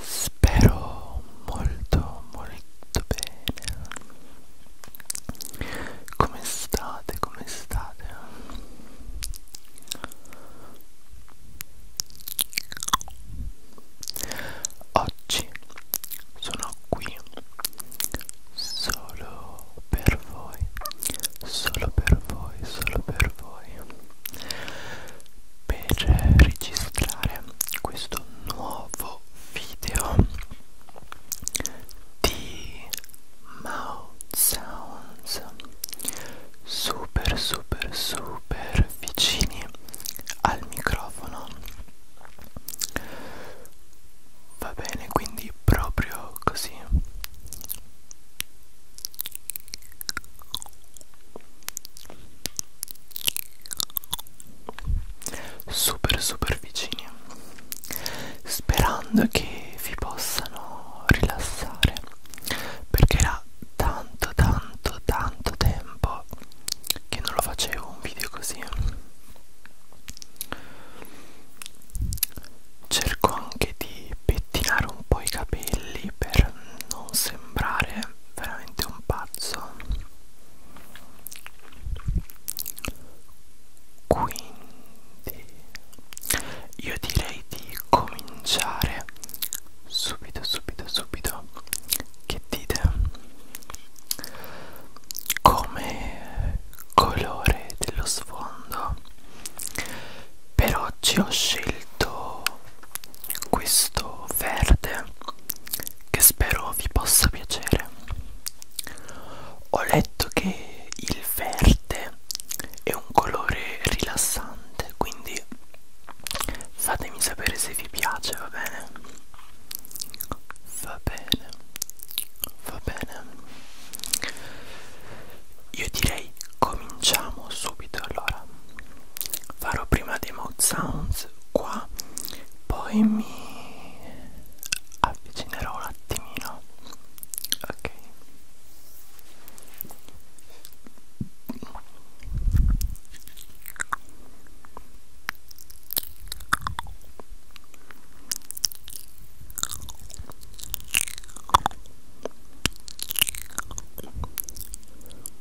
spero molto molto bene come state come state oggi sono qui solo per voi solo per voi solo per voi per registrare questo nuovo video di mouth sounds super super super vicini al microfono va bene quindi proprio così super super vicini sperando che vi possano rilassare perché era tanto tanto tanto tempo che non lo facevo un video così cerco anche di pettinare un po' i capelli per non sembrare veramente un pazzo quindi io direi di cominciare subito subito subito che dite come colore dello sfondo però oggi ho scelto questo verde che spero vi possa piacere ho letto che il verde è un colore rilassante quindi fatemi sapere se vi piace va bene va bene va bene io direi cominciamo subito allora farò prima dei mouth sounds qua poi mi avvicinerò un attimino ok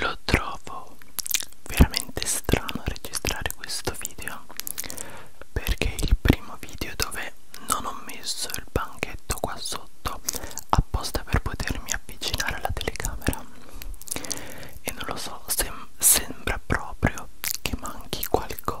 Lo trovo veramente strano registrare questo video perché è il primo video dove non ho messo il banchetto qua sotto apposta per potermi avvicinare alla telecamera e non lo so, sem sembra proprio che manchi qualcosa.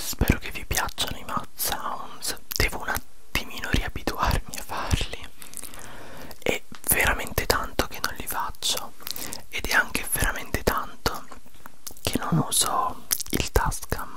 Spero che vi piacciono i mouth sounds, devo un attimino riabituarmi a farli. È veramente tanto che non li faccio uso ed è anche veramente tanto che non uso il Tascam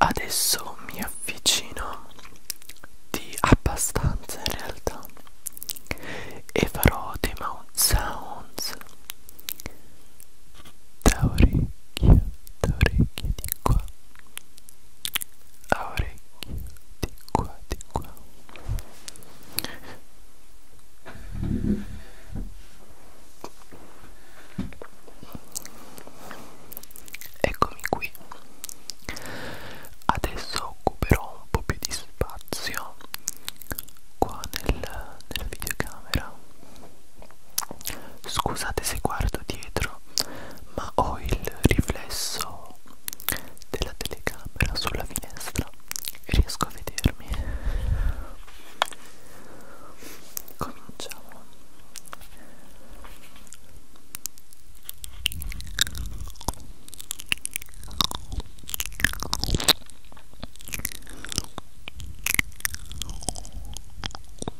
Adesso mi avvicino di abbastanza in realtà e farò dei mouth sounds da orecchio, da orecchio di qua a orecchio di qua di qua eccomi qui adesso occuperò un po' più di spazio qua nel, nella videocamera scusate se guardo dietro ma ho il riflesso della telecamera sulla finestra e riesco a vedermi. Cominciamo.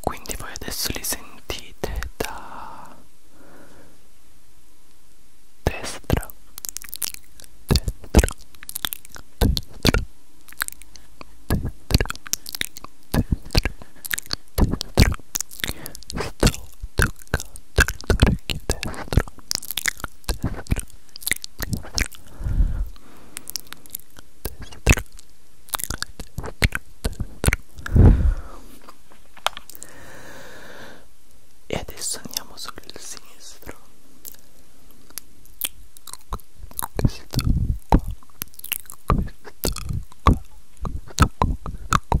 quindi voi adesso li sentite da destra destra destra destra destra destra sto toccando destro, destro, destro, destro, destro. E adesso andiamo sul sinistro. Questo qua, questo qua, questo qua, questo qua.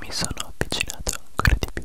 Mi sono avvicinato ancora di più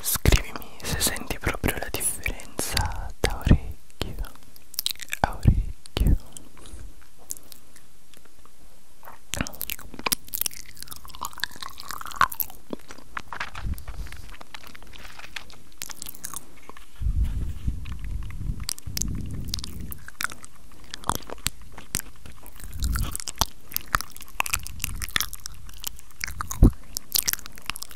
Scrivimi se senti proprio la differenza da orecchio a orecchio.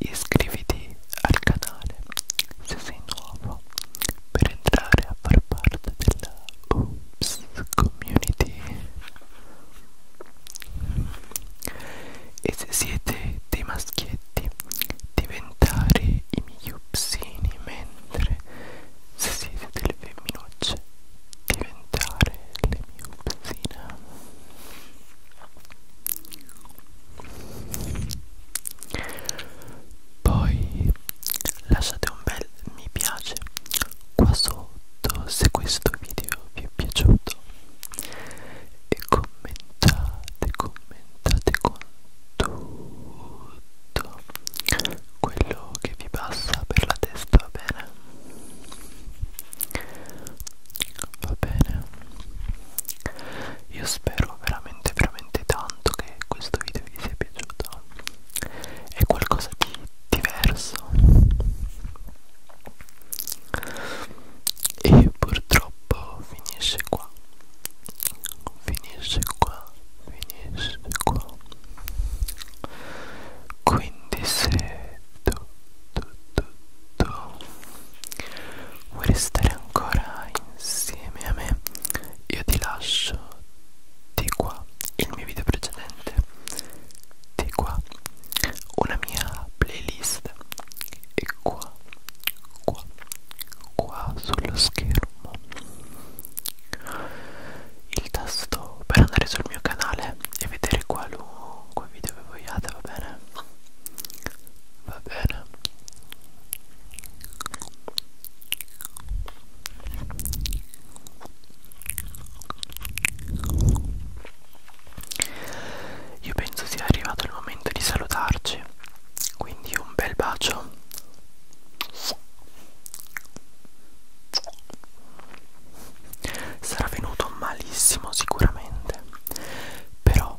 iscriviti al canale se sei nuovo per entrare a far parte della Oops Community e se siete dei maschietti diventare i miei upsini mentre se siete delle femminucce diventare le mie upsine poi lasciate un bel mi piace qua sotto se questo video vi è piaciuto e commentate commentate con tutto quello che vi passa per la testa va bene va bene io spero veramente veramente tanto che questo video vi sia piaciuto è qualcosa di diverso e purtroppo finisce qua finisce qua finisce qua quindi se tu tutto vuoi restare ancora insieme a me io ti lascio di qua il mio video precedente di qua una mia playlist e qua qua qua sullo schermo il tasto per andare sul mio canale e vedere qualunque video che vogliate va bene va bene io penso sia arrivato il momento di salutarci quindi un bel bacio sarà venuto malissimo sicuramente però